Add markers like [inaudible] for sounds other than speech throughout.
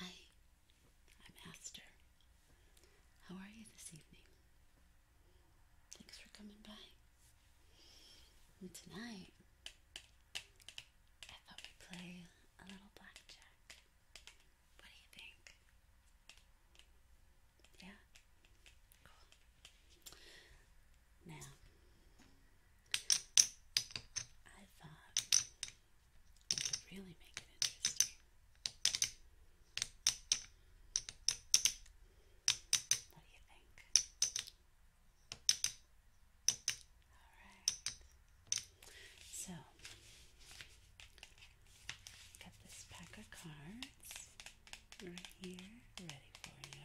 Hi, I'm Aster. How are you this evening? Thanks for coming by. tonight, I thought we'd play a little blackjack. What do you think? Yeah? Cool. Now, I thought it would really make it interesting. What do you think? Alright. So, got this pack of cards right here ready for you.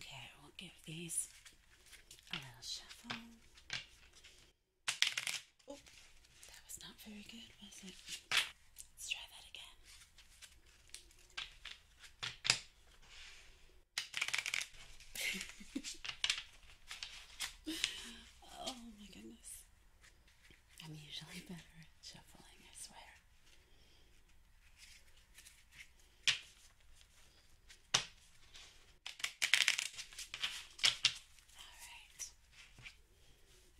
Okay, we'll give these a little shuffle. Oh, that was not very good, was it? Let's try that again. [laughs] oh my goodness. I'm usually better at shuffling, I swear. All right.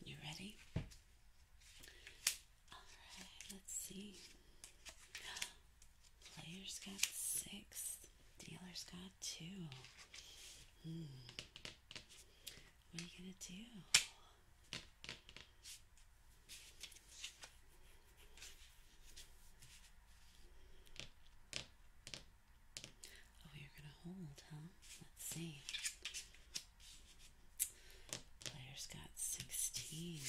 You ready? Alright, let's see. Players got six, dealers got two. Hmm. What are you gonna do? Oh, you're gonna hold, huh? Let's see. Player's got 16.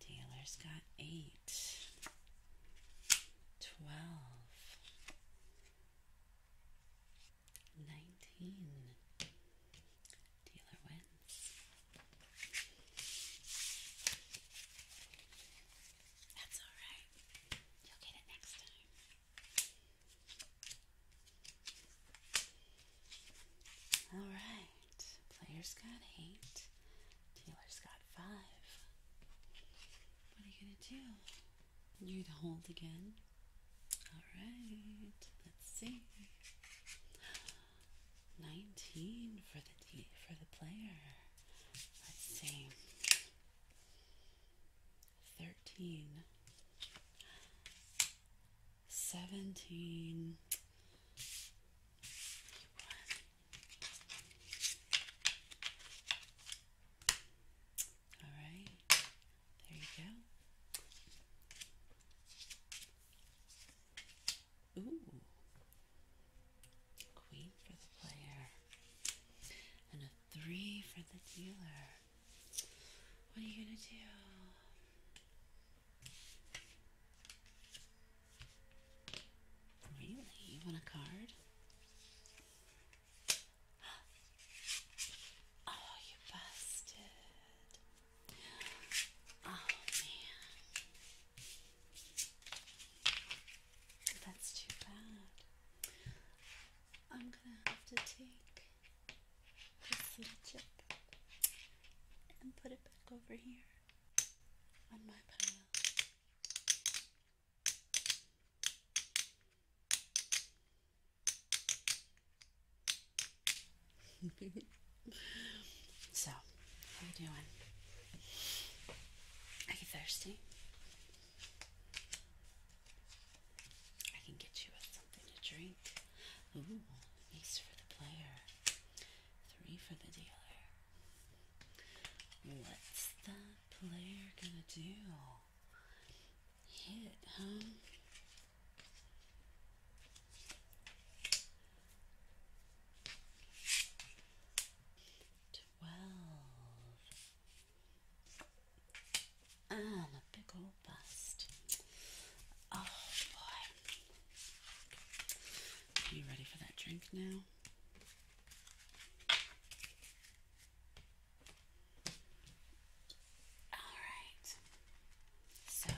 Dealer's got 8. 12. 19. Dealer wins. That's alright. You'll get it next time. Alright. Player's got 8 taylor Dealer's got five. What are you gonna do? You'd hold again. Alright. Let's see. 19 for the for the player. Let's see thirteen, seventeen, one. All right, there you go. Ooh, queen for the player. And a three for the dealer. What are you going to do? Really? You a card? [gasps] Oh, you busted. Oh, man. That's too bad. I'm gonna have to take this little chip and put it back over here on my pile. [laughs] so, how you doing? Are you thirsty? I can get you something to drink. Ooh, ace for the player, three for the dealer. What's that player gonna do? Hit, huh? Twelve. And a big old bust. Oh boy. Are you ready for that drink now? Alright. So,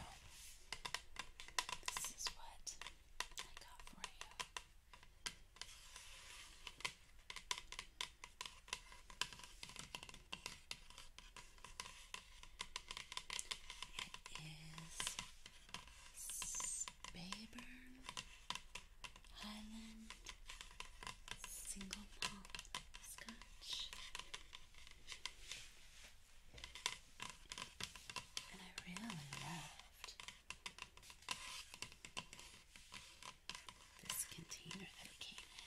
this is what I got for you. It is Spayburn Highland Single Malt Scotch. And I really loved this container that it came in.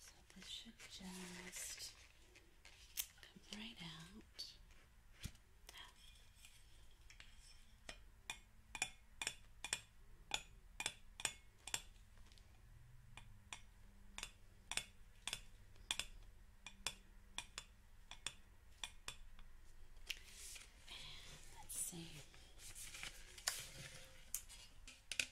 So this should just come right out. let's see.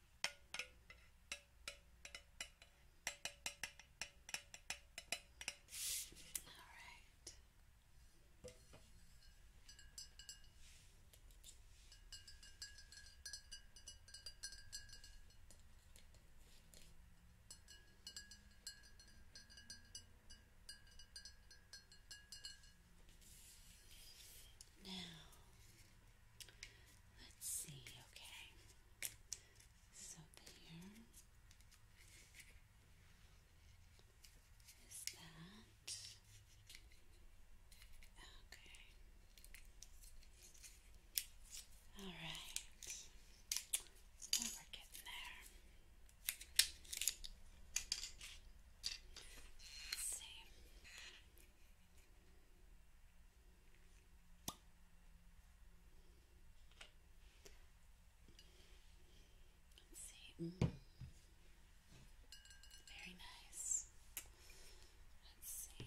All right. Now Let's see, okay. So there is that. Okay. All right. we're getting there. Let's see. Let's see. Mm. Very nice. Let's see.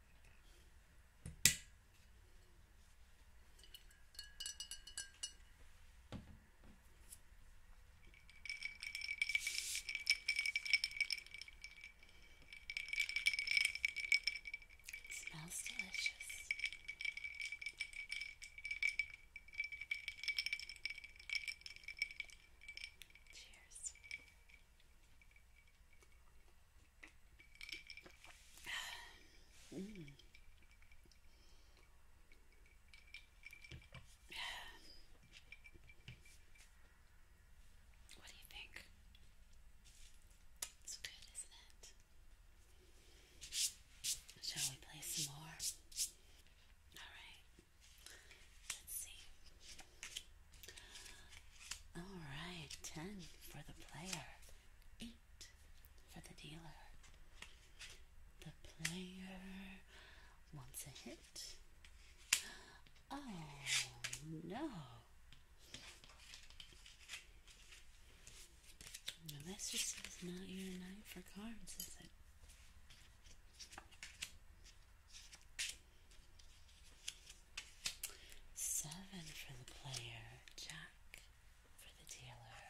It smells delicious. Cheers. Mm. What do you think? It's good, isn't it? Shall we play some more? Alright. Let's see. Alright, 10 for the player, 8 for the dealer. The player wants a hit. Oh no. Now this just is not your night for cards, is it? Seven for the player, Jack for the dealer.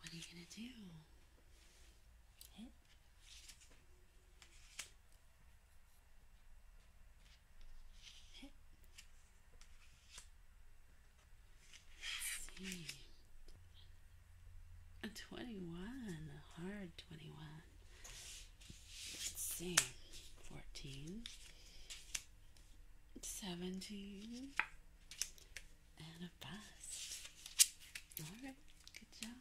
What are you going to do? A 21, a hard 21. Let's see. 14, 17, and a bust. Alright, good job.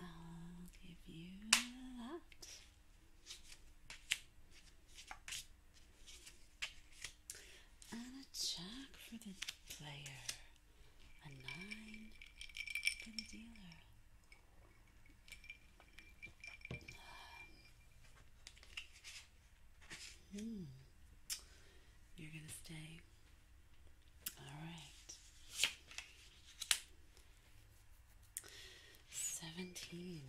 I'll give you that. And a jack for the player. A nine for the dealer. Hmm. You're gonna stay. All right. 17.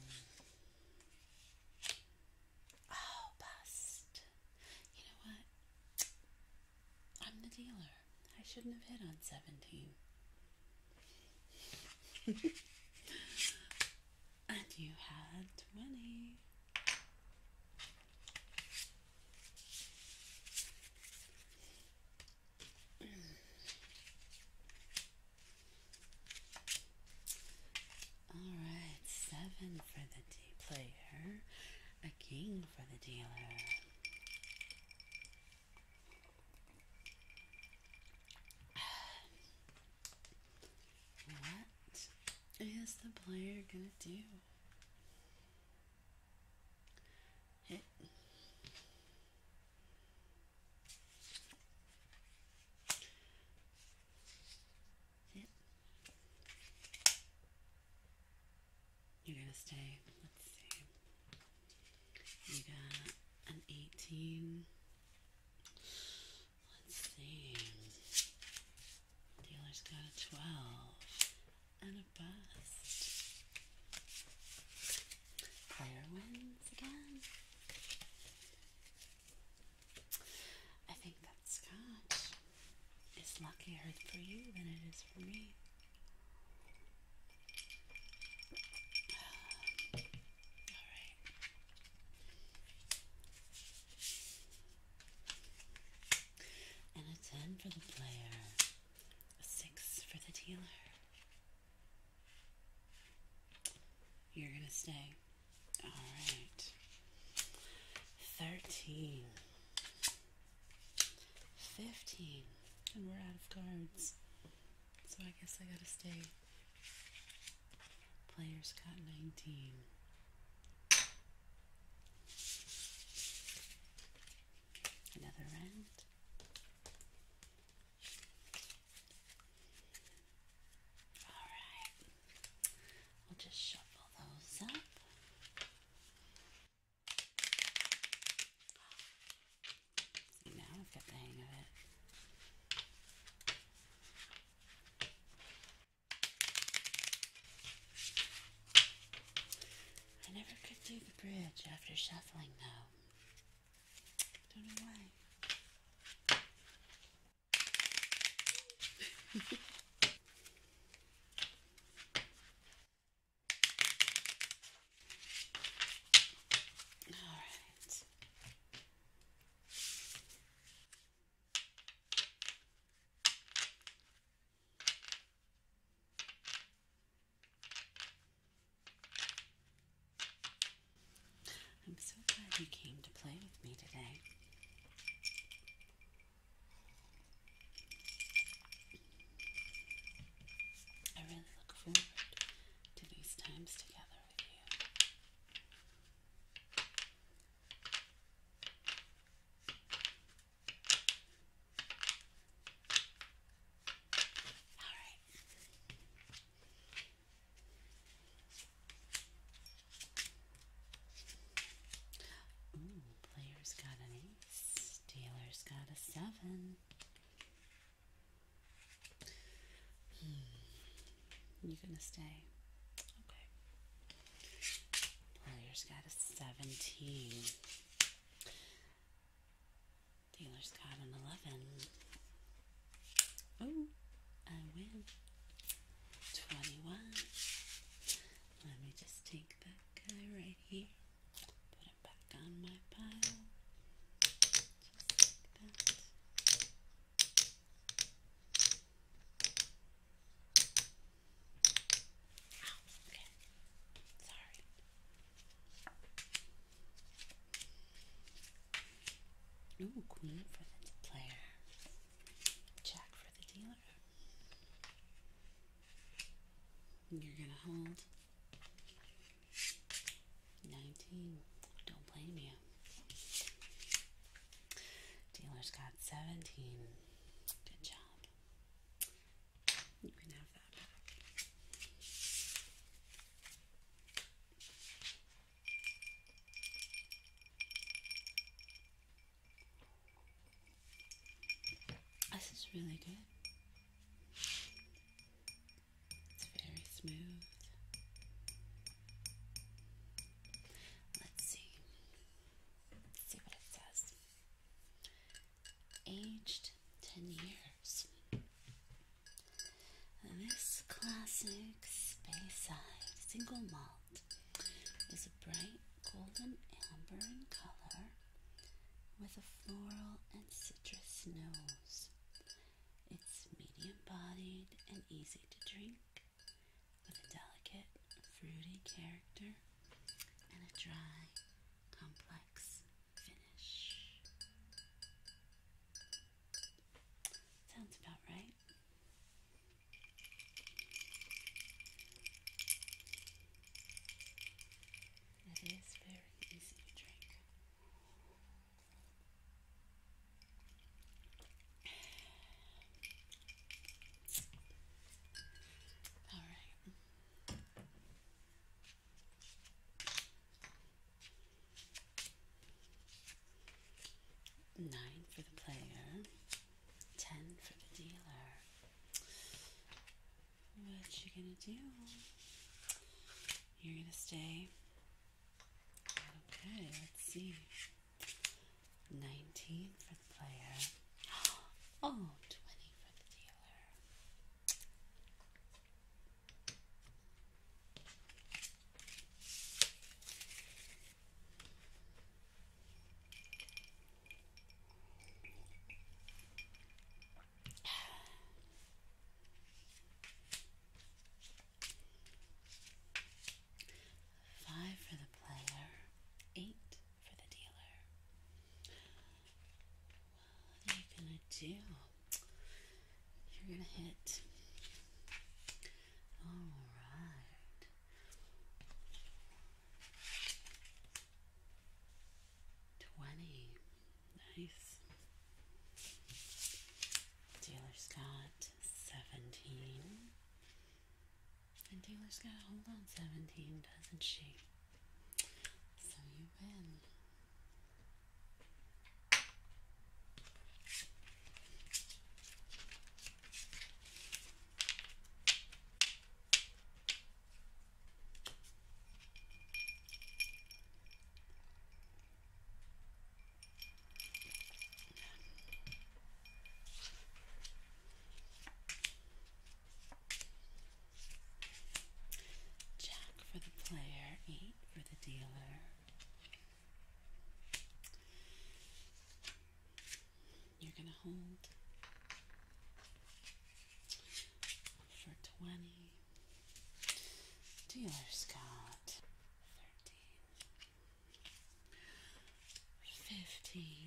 Oh, bust. You know what? I'm the dealer. I shouldn't have hit on 17. [laughs] and you had 20. Alright, seven for the D player, a king for the dealer. What is the player gonna do? Hit. You're gonna stay. Let's see. You got an eighteen. Let's see. Dealer's got a twelve and a bust. Player wins again. I think that Scotch is luckier for you than it is for me. Alright. And a 10 for the player, a 6 for the dealer. You're going to stay. All right. 13. 15. And we're out of cards. So I guess I got to stay. Players got 19. Another round. Alright, we'll just shuffle those up. See, now I've got the hang of it. I never could do the bridge after shuffling, though. Don't know why. [laughs] All right. I'm so glad you came to play with me today. I really look forward to these times together with you. All right, player's got an ace. Dealer's got a seven. Hmm, You're gonna stay. Okay. Player's got a 17. Taylor's got an 11. Oh, I win. 21. Let me just take that guy right here. Put him back on my pile. Just like that. Sorry. Ooh, queen for the player. Jack for the dealer. You're gonna hold. 19. Don't blame you. Dealer's got 17. Good job. This is really good. It's very smooth. Let's see. Let's see what it says aged 10 years. This classic space eye single malt is a bright golden amber in color with a floral and citrus nose. It's medium bodied and easy to drink with a delicate fruity character and a dry, complex finish. Sounds about right. It is very easy to drink. All right. Nine for the player, ten for the dealer. What you gonna do? You're gonna stay. Okay, let's see. Nineteen for the player. [gasps] Oh, for the dealer. Five for the player, eight for the dealer. What are you gonna do? You're gonna hit. All right. Twenty. Nice. Taylor got seventeen. And Taylor's got a hold on seventeen, doesn't she? So you win. Jack for the player, eight for the dealer. You're going to hold for 20. Dealer's got 13,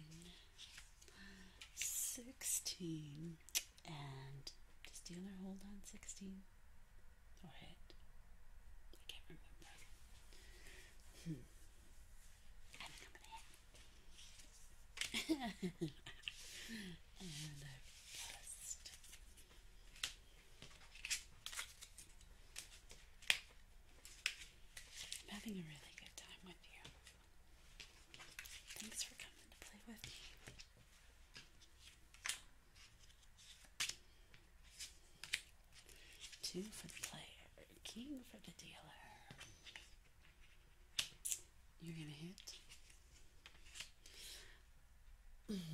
15, 16. And does dealer hold on 16 or hit? I can't remember. Hmm. [laughs] having a really good time with you. Two for the player, king for the dealer. You're gonna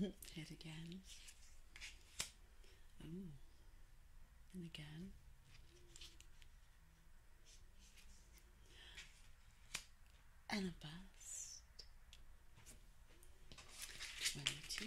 hit. [laughs] hit again. Ooh. And again and a bust. 22.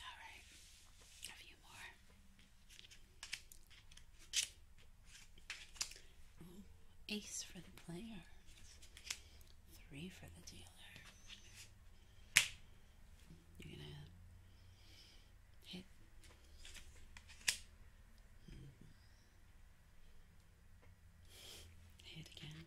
Alright, a few more. ace for the player, three for the dealer. You're gonna hit. Mm-hmm. Hit again.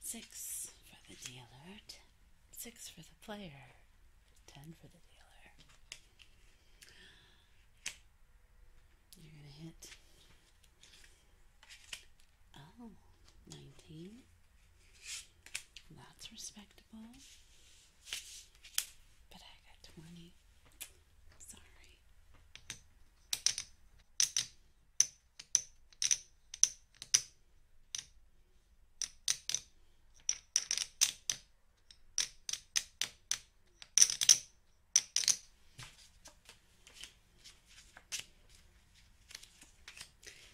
Six for the dealer, six for the player, ten for the dealer. You're going to hit, oh, that's respectable. But I got 20. Sorry.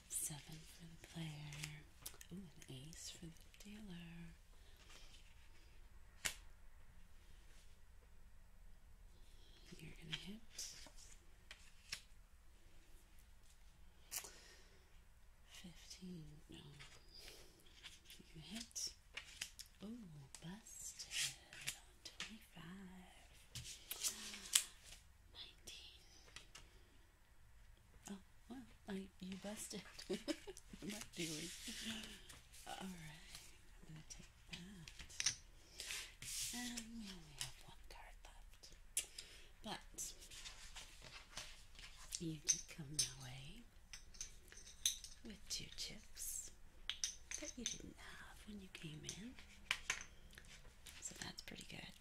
Seven for the player. Ooh, an ace for the dealer. You're going to hit. Fifteen. No. you hit. Ooh, busted 25. [gasps] 19. Oh, well, you busted. [laughs] what I doing? All right, I'm going to take that. And we have one card left. But you did come my with two chips that you didn't have when you came in. So that's pretty good.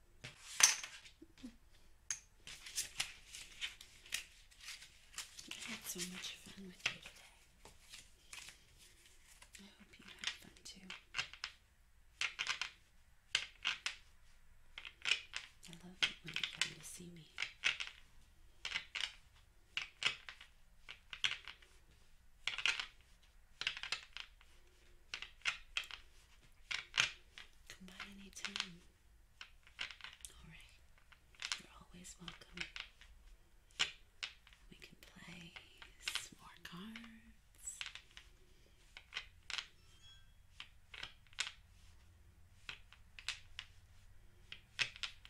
I had so much fun with you today. I hope you had fun too. I love it when you come to see me. Come by any time. Alright. You're always welcome. We can play more cards.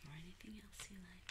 Or anything else you like.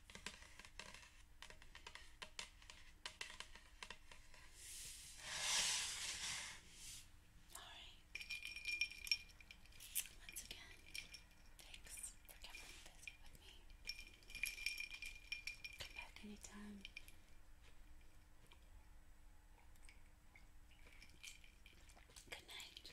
Alright. Once again, thanks for coming to visit with me. Come back anytime. Good night.